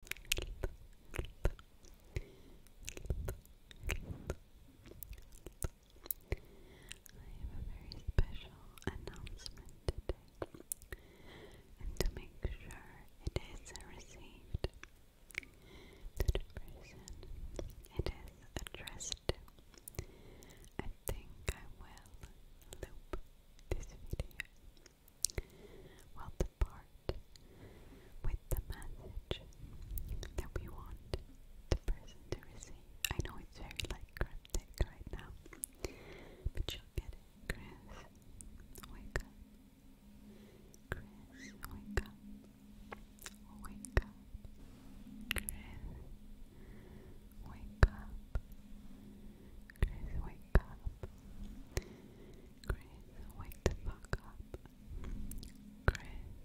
have a very special announcement today, and to make sure it is received it is addressed I think I will loop this video well, the part with the message that we want the person to receive. I know it's very like cryptic right now, but you'll get it. Chris, wake up. Chris, wake up. Wake up. Chris, wake up. Chris, wake up. Chris, wake the fuck up. Chris,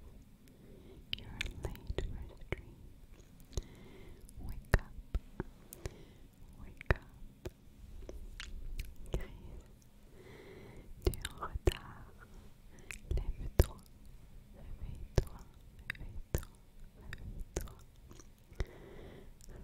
you're late for the dream. Wake up. Wake up. Chris, tu es en retard. Lève-toi. Réveille-toi. Réveille-toi. Réveille-toi. Réveille-toi.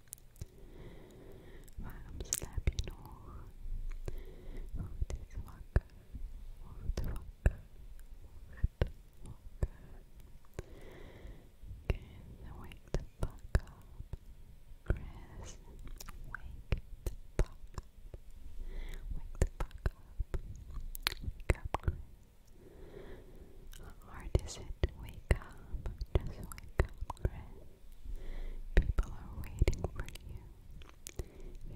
waarom slaap je nog? Word eens wakker, word wakker, word wakker. Chris, wake the fuck up. Chris, wake the fuck up. Wake the fuck up. Wake up, Chris. How hard is it to wake up? Just wake up, Chris. People are waiting for you.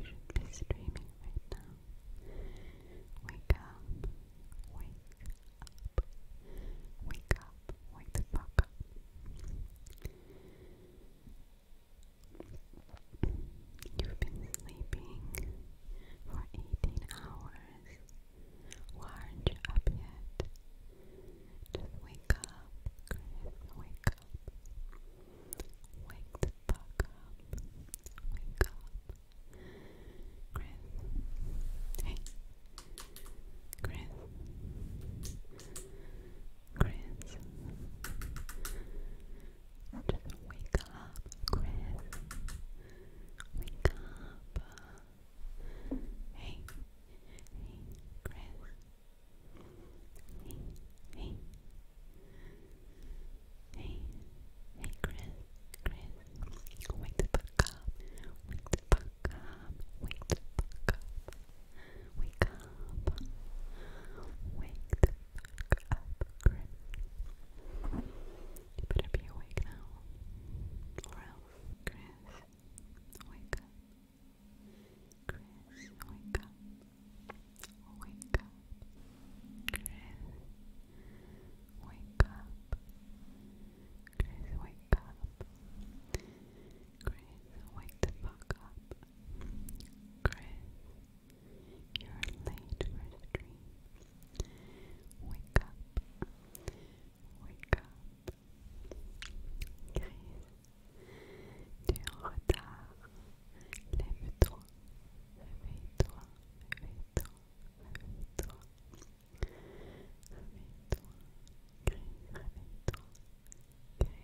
You should be streaming right now. Wake up. Wake up. Wake up. Wake the fuck up. You've been sleeping for 18 hours. Why up yet? wake up, Chris, wake up. Wake the fuck up. Wake up. Chris. Hey. Chris. Chris. wake up, Chris. Wake up. Hey, hey, Chris. Hey, hey, hey, hey, Chris, Chris. Wake the fuck up. Wake the fuck up. Wake the fuck up. Wake up. Wake the fuck up, Chris. You better be awake now, or else, Chris. Wake up. Chris, wake up. Wake up. Chris, wake up. Chris, wake up. Chris, wake the fuck up. Chris, you're late for the Wake up. Wake up. tu es en retard. Lève-toi. toi Réveille-toi. Réveille-toi. Réveille-toi. Chris, réveille-toi. toi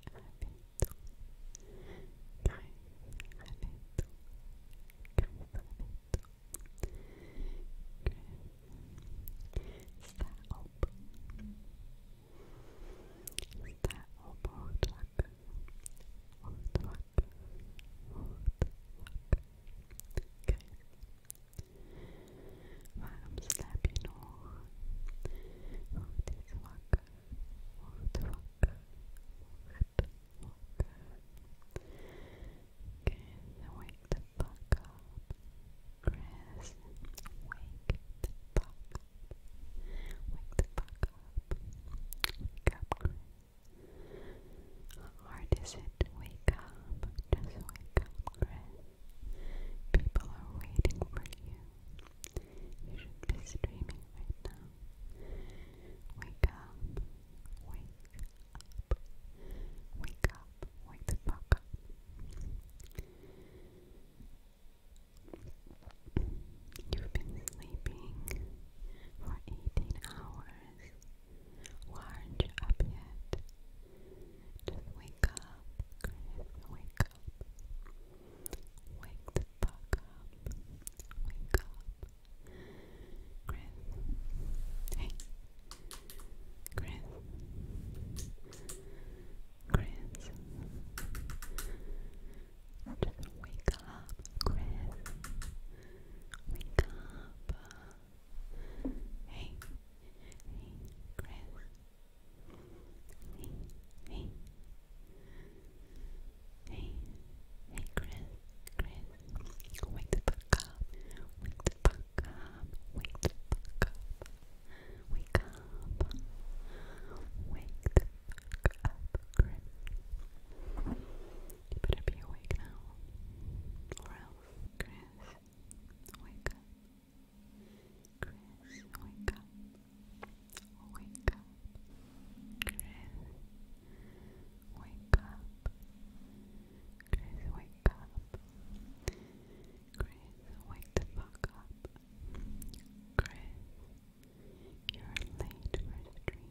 Chris, toi Chris, toi Is that up? Is that up? Hard luck. Hard luck. Hard luck. Okay. Waarom slaap je nog? Word eens wakker. Word wakker. Word wakker. Okay, so I the fuck up. Chris, wake the fuck up. Wake up. Chris. How hard is it wake up? Just wake up, Chris. People are waiting for you. You should be streaming right now. Wake up. Wake up. Wake up. Wake the fuck up. You've been sleeping for 18 hours. Why aren't you up yet? wake up, Wake up. Wake the fuck up. Wake up. Hey. Chris, Chris, wake up, Chris, wake up. Hey, hey, Chris, hey, hey, hey, hey, Chris, Chris, wake up, wake the Wake up, wake up. Wake up. Wake up, Chris. You better be awake now. Or else. Chris, wake up. Chris, wake up. wake up. Chris, wake up. Chris, wake up. Chris, wake the fuck up. Chris, you're late for dream.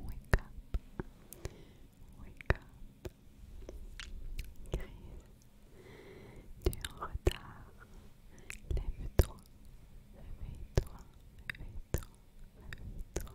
Wake up. Wake up. Chris, tu es en retard. Lève-toi. Réveille-toi. Réveille-toi. Réveille-toi.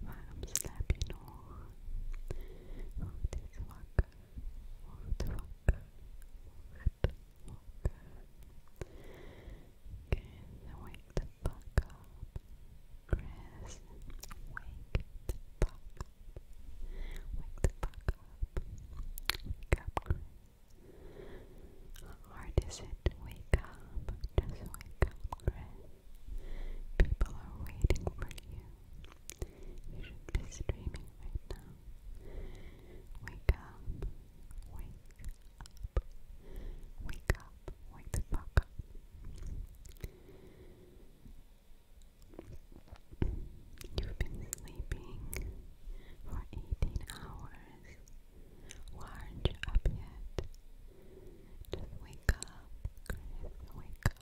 Waarom slaap je nog? Word eens wakker, word wakker, word wakker. Chris, wake the fuck up. Chris, wake the fuck up. Wake the fuck up. Wake up, Chris. How hard is it to wake up? Just wake up, Chris. People are waiting for you. You should be streaming right now. Wake up. Wake up. Wake up. Wake the fuck up. You've been sleeping for 18 hours. Why not you up yet? Just wake up, Chris. Wake up.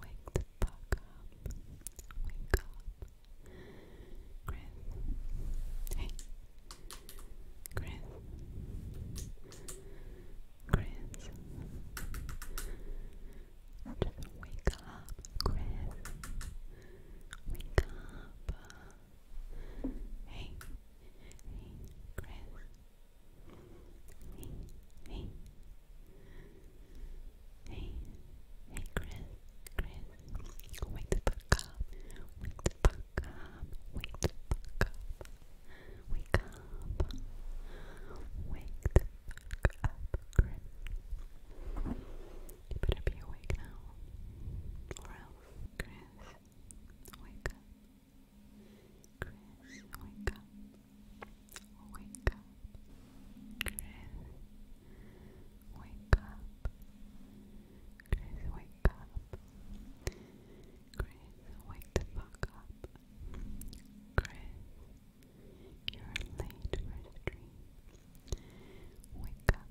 Wake the fuck up. Wake up. Chris. Hey. Chris. Chris. Just wake up, Chris. Wake up. Hey, hey, Chris. Hey, hey, hey, hey, Chris, Chris. Wake the fuck up. Wake the fuck up. Wake the fuck up. Wake up. Wake the fuck up, Chris. You better be awake now. Or else, Chris, wake up. Chris, wake up. Wake up. Chris, wake up. Chris, wake up. Chris, wake the fuck up. Chris, you're late for the dream. Wake up.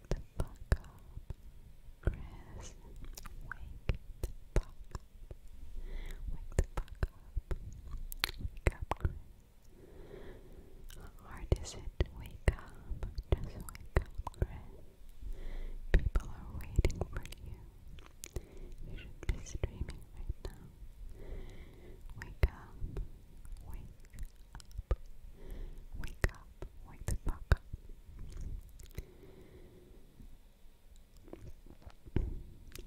Wake the fuck up. Chris, wake the fuck up. Wake up. Chris. How hard is it wake up? Just wake up, Chris. People are waiting for you. You should be streaming right now. Wake up. Wake up. Wake up. Wake the fuck up.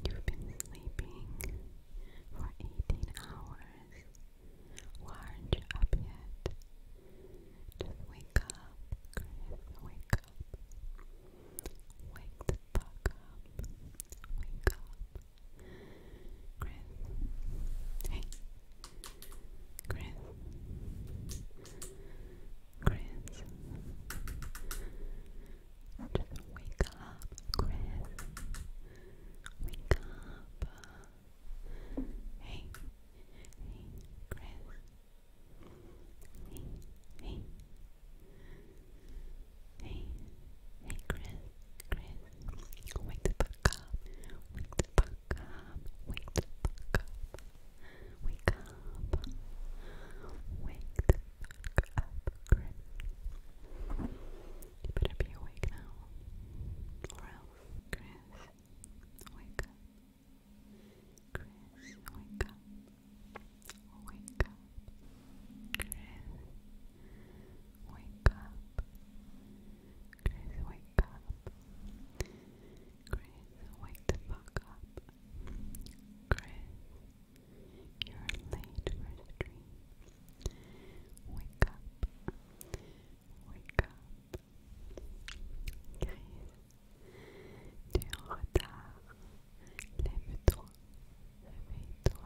You've been sleeping for 18 hours. Why aren't you up yet? Just wake up, wake up. Wake the fuck up. Wake up. Chris. Hey. Chris, Chris, just wake up, Chris, wake up. Hey, hey, Chris, hey, hey, hey, hey, Chris, Chris, wake up, wake the fuck up. Wake up. Wake up. Wake up, Chris. You better be awake now. Or else. Chris, wake up. Chris, wake up. Wake up. Chris, wake up. Grace, wake up. Grace, wake the fuck up. Grace, you're late for the Wake up. Wake up. Grace, tu es en retard. Lève-toi. Réveille-toi.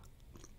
reveille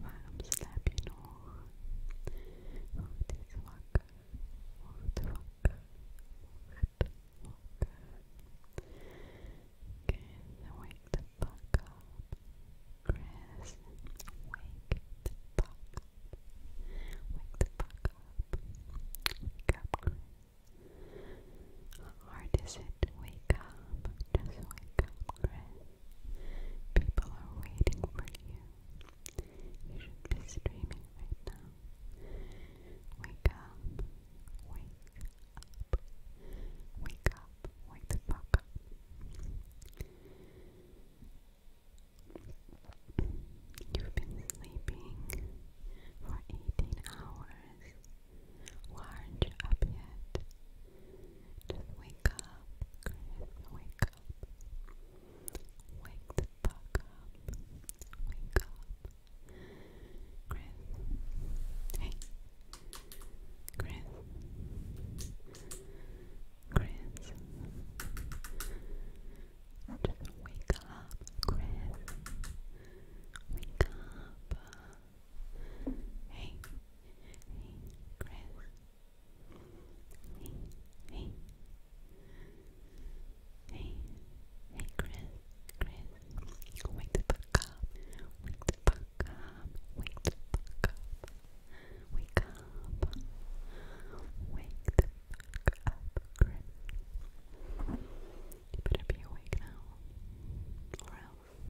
Waarom slaap je nog? Word eens wakker, word wakker, word wakker. Chris, wake the fuck up. Chris, wake the fuck up. Wake the fuck up. Wake up, Chris. How hard is it to wake up? Just wake up, Chris. People are waiting for you. You should be streaming right now. Wake up. Wake up. Wake up. Wake the fuck up. You've been sleeping for 18 hours. Who aren't you up yet? wake up, wake up. Wake the fuck up. Wake up. Chris. Hey. Chris. Chris. wake up, Chris. Wake up. Hey, hey, Chris. Hey, hey, hey, hey, Chris, Chris. Wake the fuck up. Wake the fuck up. Wake the fuck up. Wake up. Wake the fuck up, Chris. You better be awake now, or else